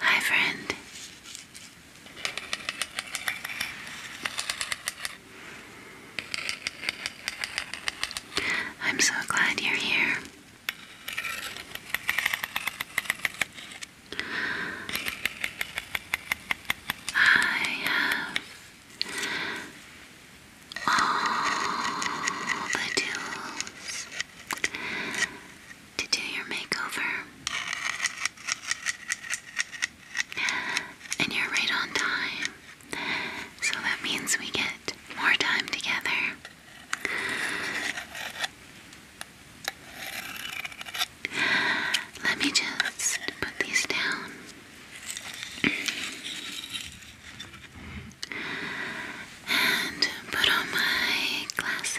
Hi, friend. I'm so glad you're here. I have all the tools to do your makeover. And you're right on time. So that means we get more time together. Let me just put these down. And put on my glasses.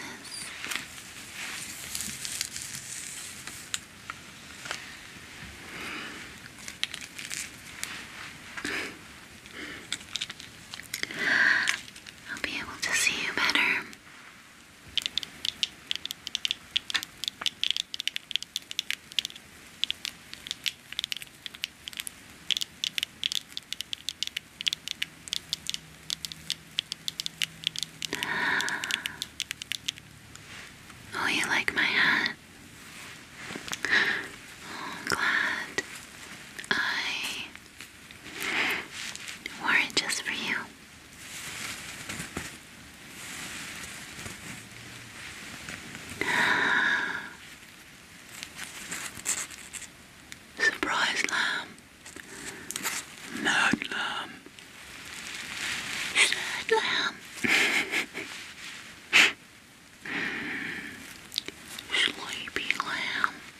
I'll be able to see you better. Oh, you like my hat? I'm oh, glad I wore it just for you. Surprise, lamb. Magnum. Slam. Sleepy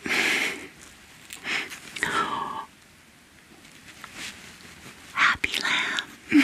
lamb. Happy lamb.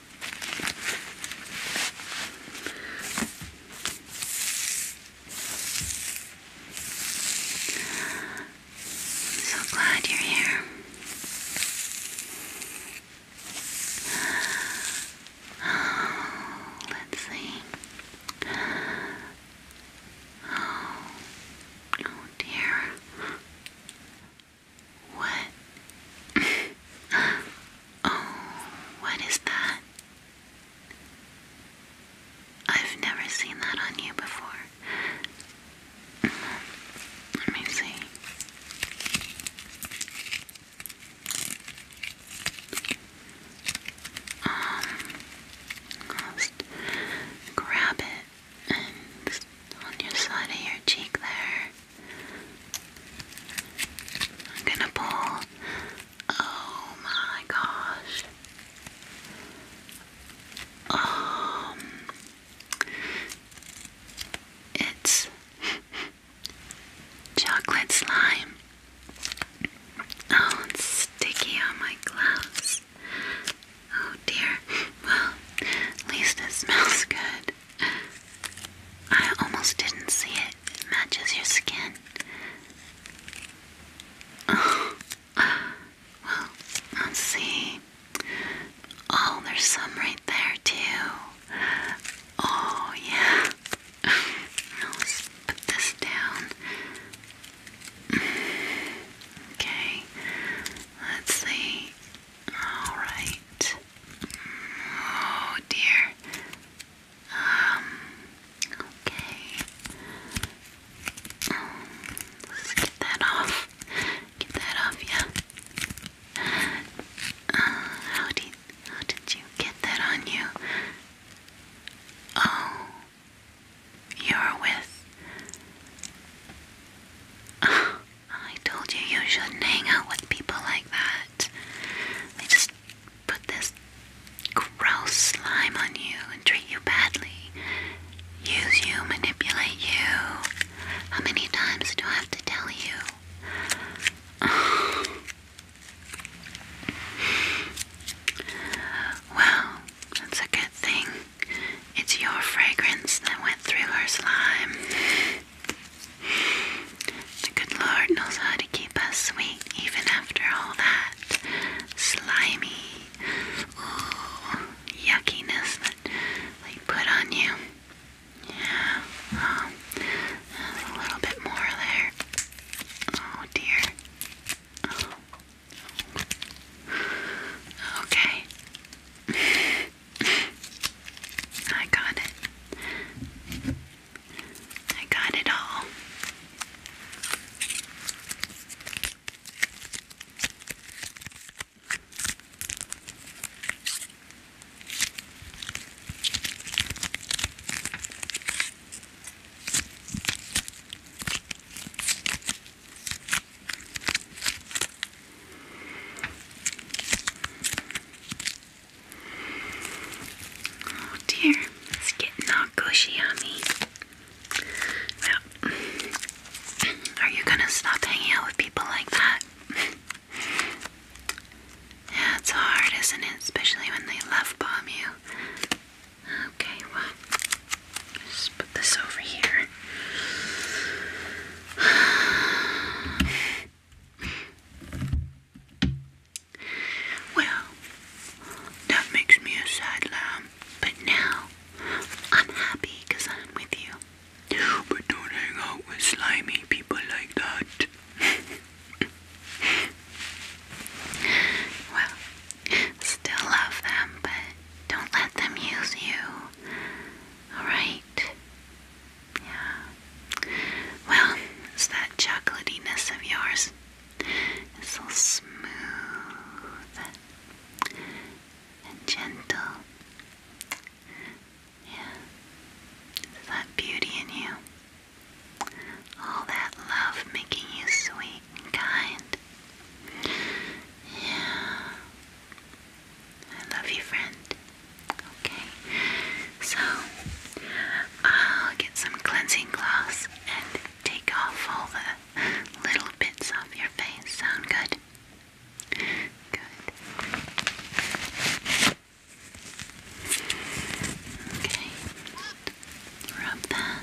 So glad you're here. Oh, let's see. oh, oh dear. What? Oh, what is that? I've never seen that on you before. Let me see. Um, I'll grab it and on your side of your cheek there. I'm gonna pull. Oh my gosh. Um, it's chocolate slime. Oh, it's sticky on my gloves. Oh dear. Well, at least it smells good. I almost didn't see it matches your skin. well, let's see. Oh, there's some right there too. Oh, yeah. Let's put this down. Okay, let's see. Alright. Oh dear. Um, okay. Um, let's get that off. Get that off, yeah. Uh, how did how did you get that on you? Oh, you're with. I told you you shouldn't hang out with people like that. They just put this gross slime on you and treat you badly, use you, manipulate you. How many times do I have to tell you? well, that's a good thing. It's your fragrance that went through her slime. The good Lord knows how to keep us sweet even after all that slimy, yuckiness that they put on you. Yeah, um, a little bit more there. Oh dear. Okay. I got it. I got it all. Oh dear, it's getting all gushy on me. Well, are you gonna stop hanging out with people like that? yeah, it's hard, isn't it? Especially when they love bomb you. Okay, well, just put this over here. Well, that makes me a sad lamb, but now I'm happy because I'm with you. But don't hang out with slimy people like that. well, still love them, but don't let them use you. Alright? Yeah. Well, it's that chocolatiness of yours. It's so smooth and gentle. Yeah. It's that beauty in you. All that love making you sweet and kind. Yeah. I love you, friend. Okay, so I'll get some cleansing cloths and take off all the little bits off your face. Sound good? Good. Okay, rub that.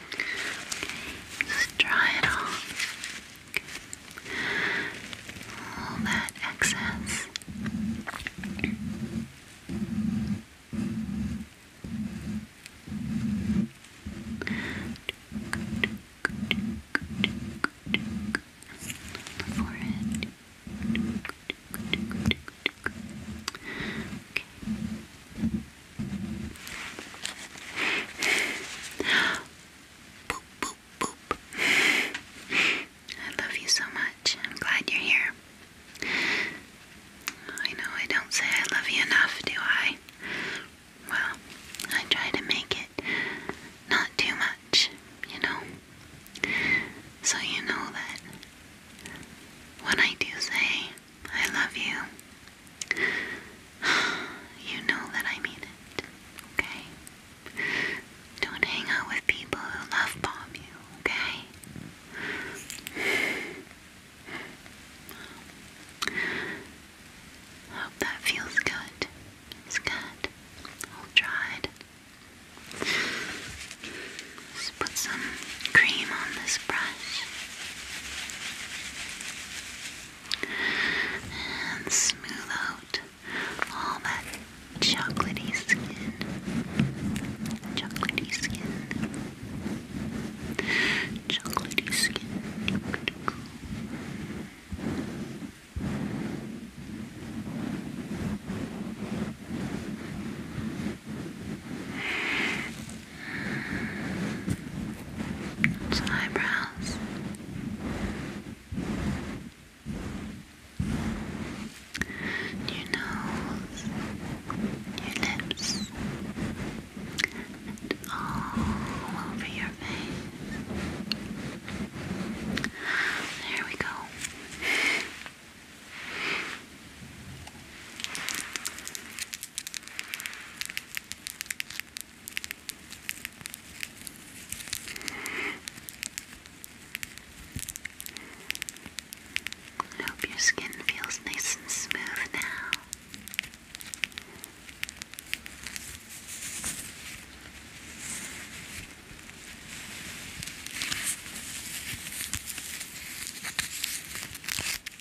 just dry it off. Okay. All that excess. forehead. I love you so much. I'm glad you're here. I know I don't say I love you enough, do I? Well, I try to make it not too much, you know? So you know that when I do say I love you. You know that I mean it, okay? Don't hang out with people who love bomb you, okay? hope that feels good. It's good. All dried. Let's put some cream on this brush and smooth out all that chocolatey skin. Chocolatey skin. Chocolatey skin some eyebrows. Your nose, your lips, and all over your face. There we go. I hope your skin feels nice and smooth now.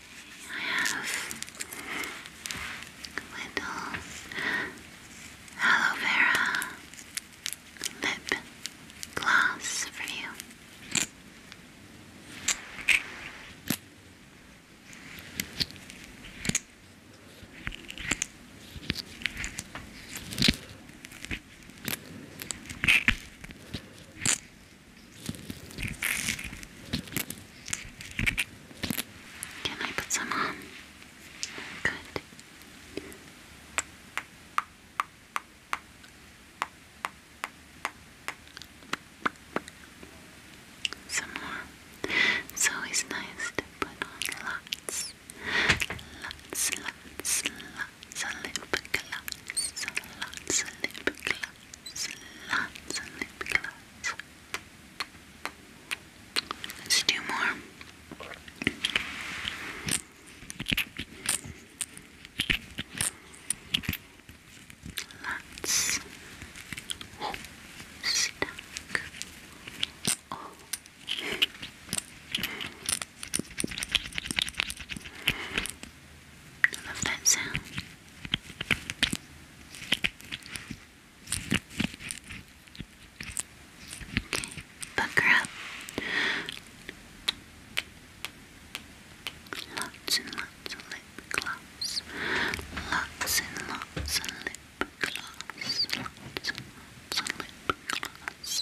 I have little aloe vera lip gloss for you. Can I put some on? Good. Some more. It's always nice to put on lots. Lots, lots, lots lip gloss. Lots of lip gloss. Lots lip gloss. Let's do more. Let's oh, Oh. I love that sound. Okay, pucker up. Lots and lots of lip gloss. Lots and lots of lip gloss. Lots and lots of lip gloss.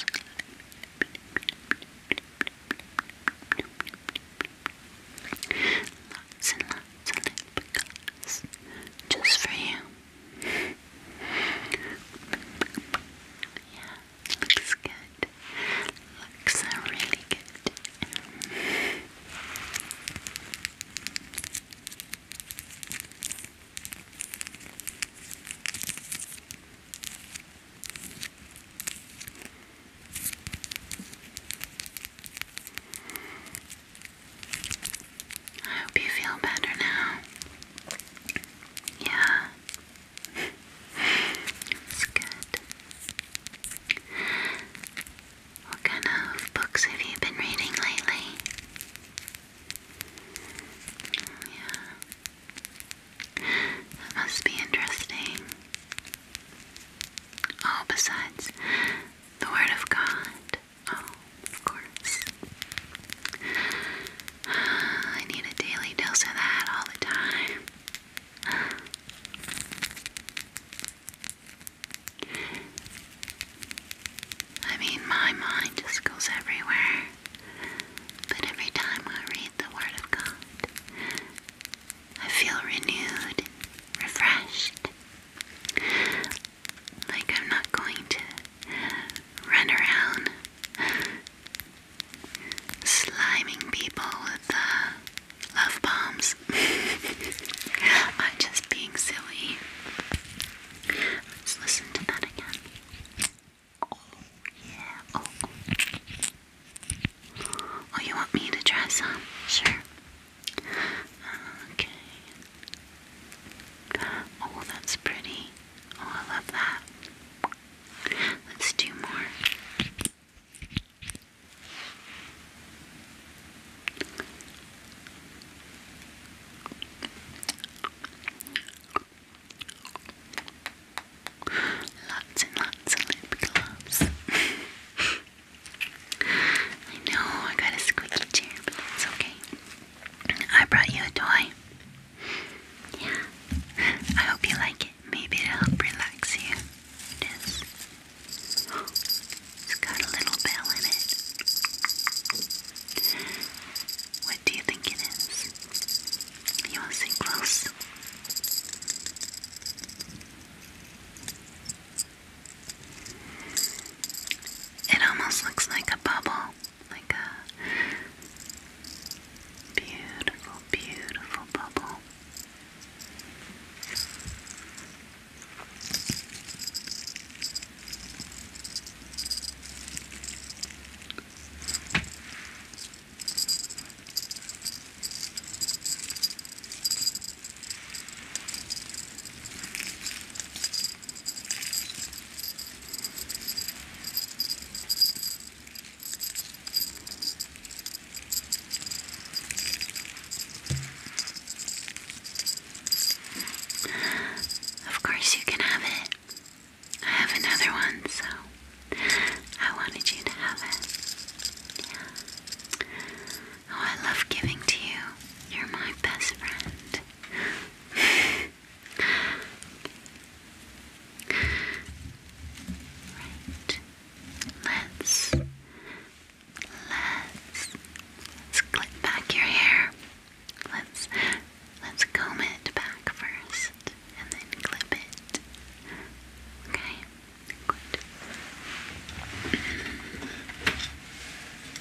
Lots and just for you. Yeah, looks good. Looks really good. I hope you feel better now. Yeah. That's good. What kind of books have you been reading lately? Yeah. That must be interesting. Oh, besides, the Word of God. Oh, of course. I need a daily dose of that all the time. I mean, my mind just goes everywhere. But every time I read the Word of God, I feel renewed, refreshed, like, I'm not going to run around sliming people with uh, love bombs. I'm just being silly. Let's listen to that again. Oh, yeah. Oh, oh. Oh, you want me to try some? Sure. Okay. Oh, that's pretty. Oh, I love that. Let's do more. Lots and lots of lip gloss. I know I got a squeaky chair, but it's okay. I brought you a toy. Yeah. I hope you like it. Maybe it'll help relax you. It is. Oh, its it has got a little bell in it. What do you think it is? You want to see close? It almost looks like a bubble, like a beautiful, beautiful bubble. Of course, you can have it. I have another one, so I wanted you to have it. Oh, I love giving to you. You're my best friend. right. Let's let's clip back your hair. Let's let's comb it back first and then clip it. Okay. Good.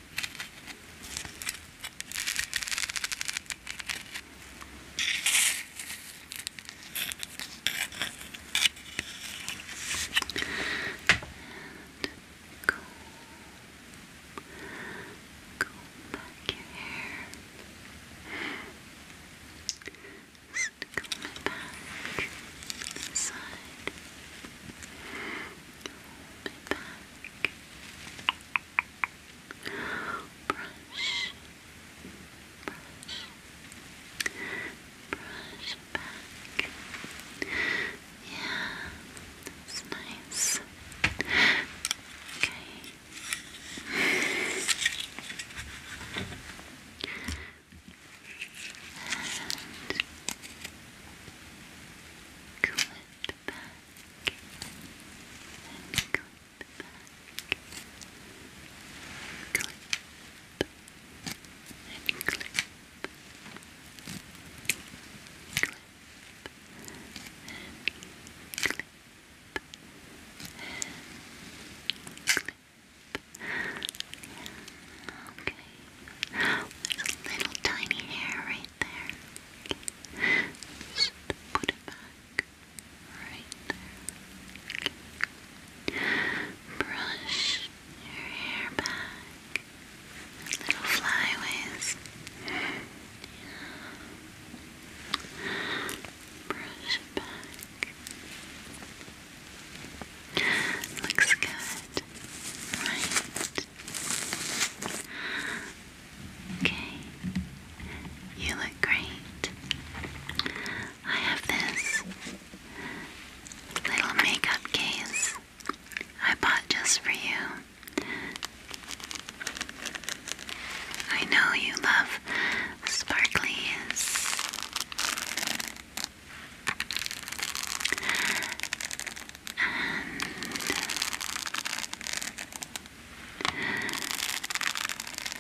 And comb, comb back your hair. Just comb it back to the side. Comb bit back. Brush, brush, brush back. Yeah, that's nice. Okay clip back and clip back, clip and clip, clip and clip. And Okay, there's a little tiny hair right there. put it back right Brush your hair back. little flyaways. Brush back. Looks good. Right. Okay, you look great. I have this little makeup case I bought just for you. I know you love sparklies. And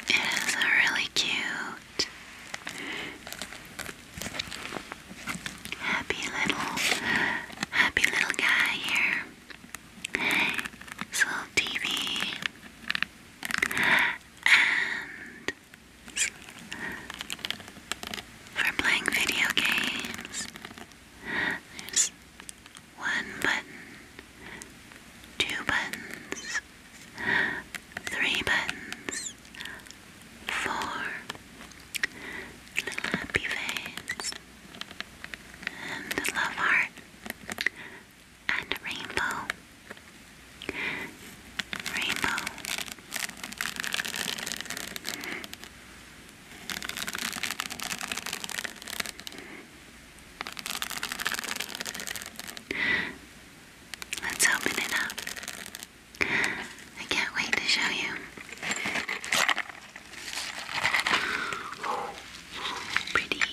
it is a really cute, happy little, happy little guy here. little TV and for playing video games. There's one button, two buttons, three buttons, four, little happy face, and a love heart, and a rainbow. Rainbow. Let's open it up. I can't wait to show you. pretty,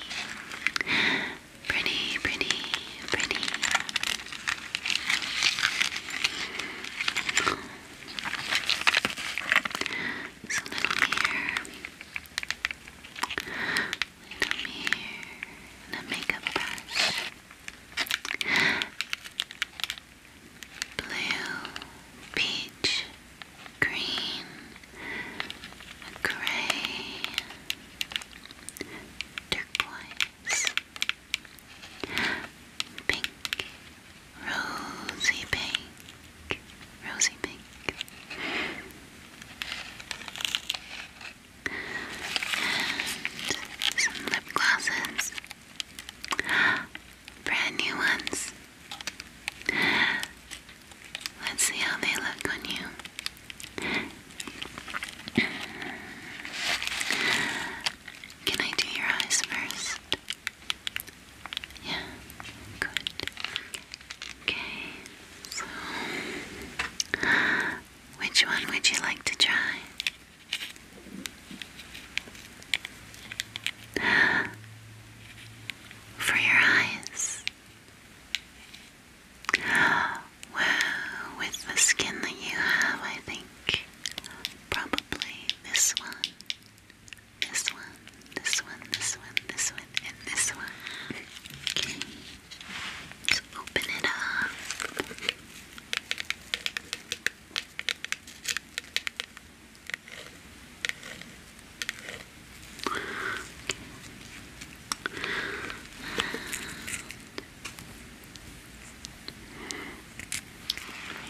pretty, pretty, pretty. It's a little mirror. Little mirror. a makeup brush. Blue, peach, green, gray, turquoise, Pink, rosy pink, rosy pink. And some lip glosses. Brand new ones. Let's see how they look on you. Can I do your eyes first? Yeah, good. Okay, so which one would you like to try? For your eyes. Wow, with the skin that you have, I think probably this one. This one, this one, this one, this one, and this one. Okay. Just open it up.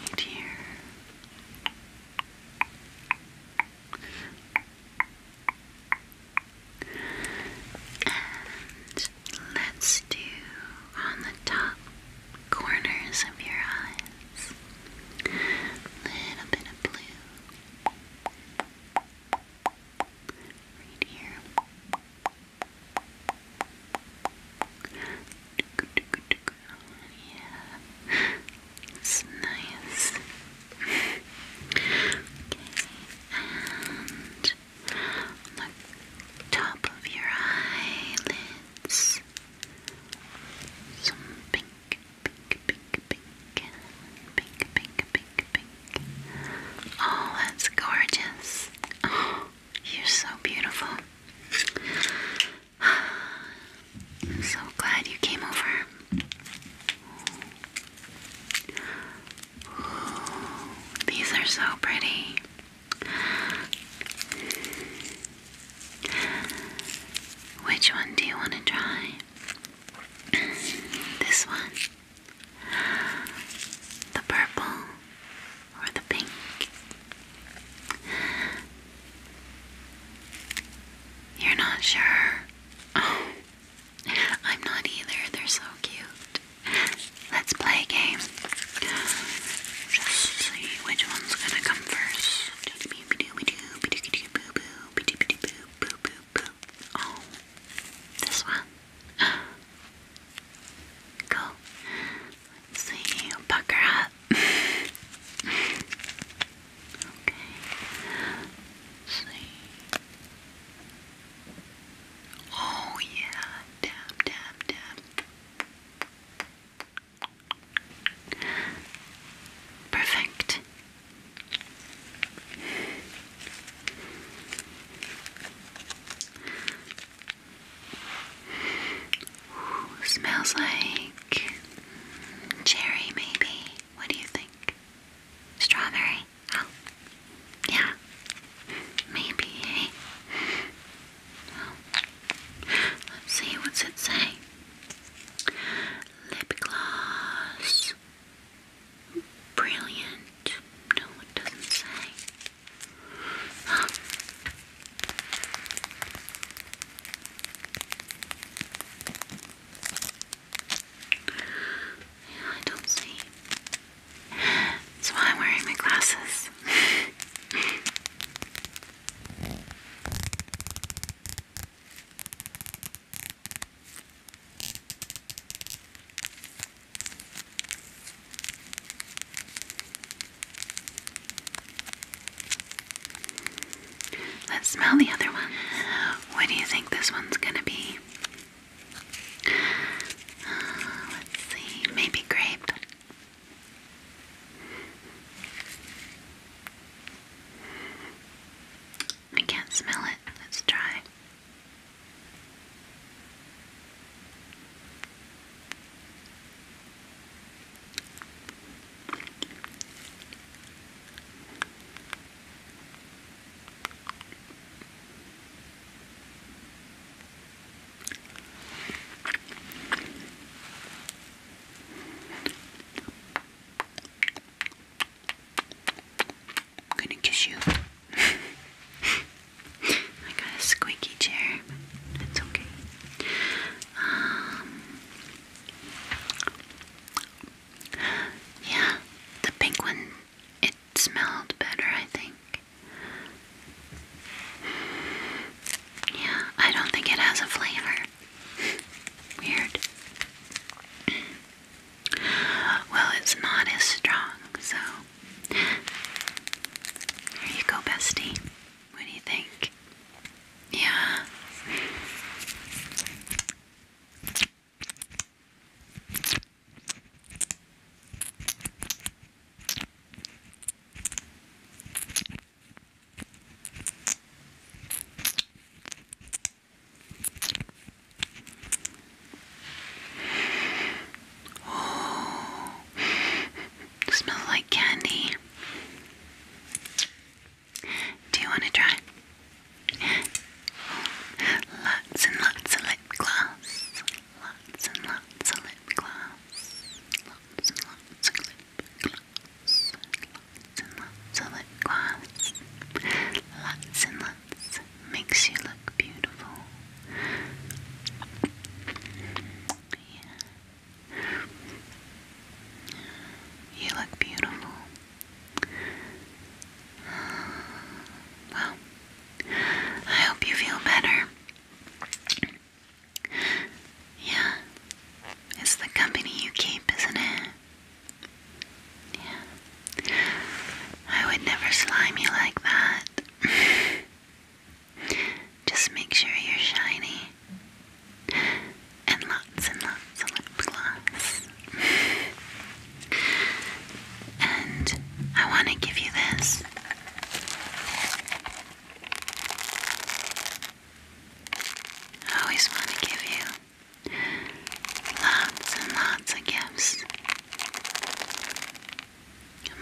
right here let's do on the top corners of your eyes. Little bit of blue. Right here it's nice. and the top of your eyelids, some pink, pink, pink, pink, pink, pink, pink, pink. Oh, that's gorgeous. you're so beautiful. I'm so glad you came over. these are so pretty. Which one do you want to try? this one? The purple? or the pink. You're not sure? I'm not either. They're so cute. Let's play a game. Just see which one's gonna come first. Oh, this one. Go. Let's see, pucker up. okay. see. Oh yeah, tap, tap, tap. Perfect smells like cherry, maybe. What do you think? Strawberry? Oh, yeah. Maybe, let's see, what's it say? Lip gloss. Brilliant. No, it doesn't say. Oh, I don't see. That's why I'm wearing my glasses. Let's smell the other one. What do you think this one's gonna be? let's see, maybe grape. I can't smell it. Let's try. I'm gonna kiss you. I got a squeaky chair. It's okay. Um, yeah, the pink one, it smelled better, I think. Yeah, I don't think it has a flavor. Weird. Well, it's not as strong, so. There you go, bestie. What do you think? Yeah. Oh. Smells like candy. Do you want to try? Lots and lots of lip gloss. Lots and lots of lip gloss. Lots and lots of lip gloss. Lots and lots of lip gloss. Lots and lots makes you look beautiful. Yeah. You look beautiful. Well, I hope you feel better. Yeah, it's the company you keep, isn't it? Yeah. I would never slime you like that. Just make sure you're shiny. And lots and lots of lip gloss. and I want to give you this. I always want to give you lots and lots of gifts.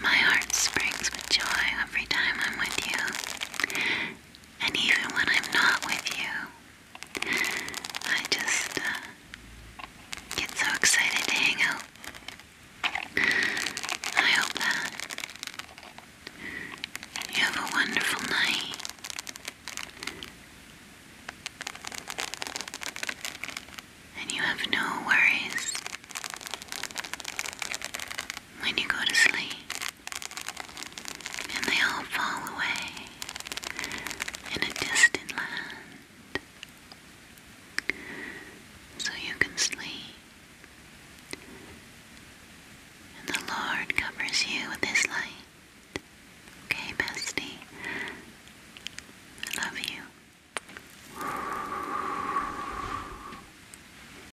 My heart springs with joy every time I'm with you. And even when I'm not with you, I just uh, get so excited to hang out. I hope that you have a wonderful night. And you have no worries when you go to sleep and they all fall away in a distant land. So you can sleep, and the Lord covers you with His light. Okay, bestie, I love you.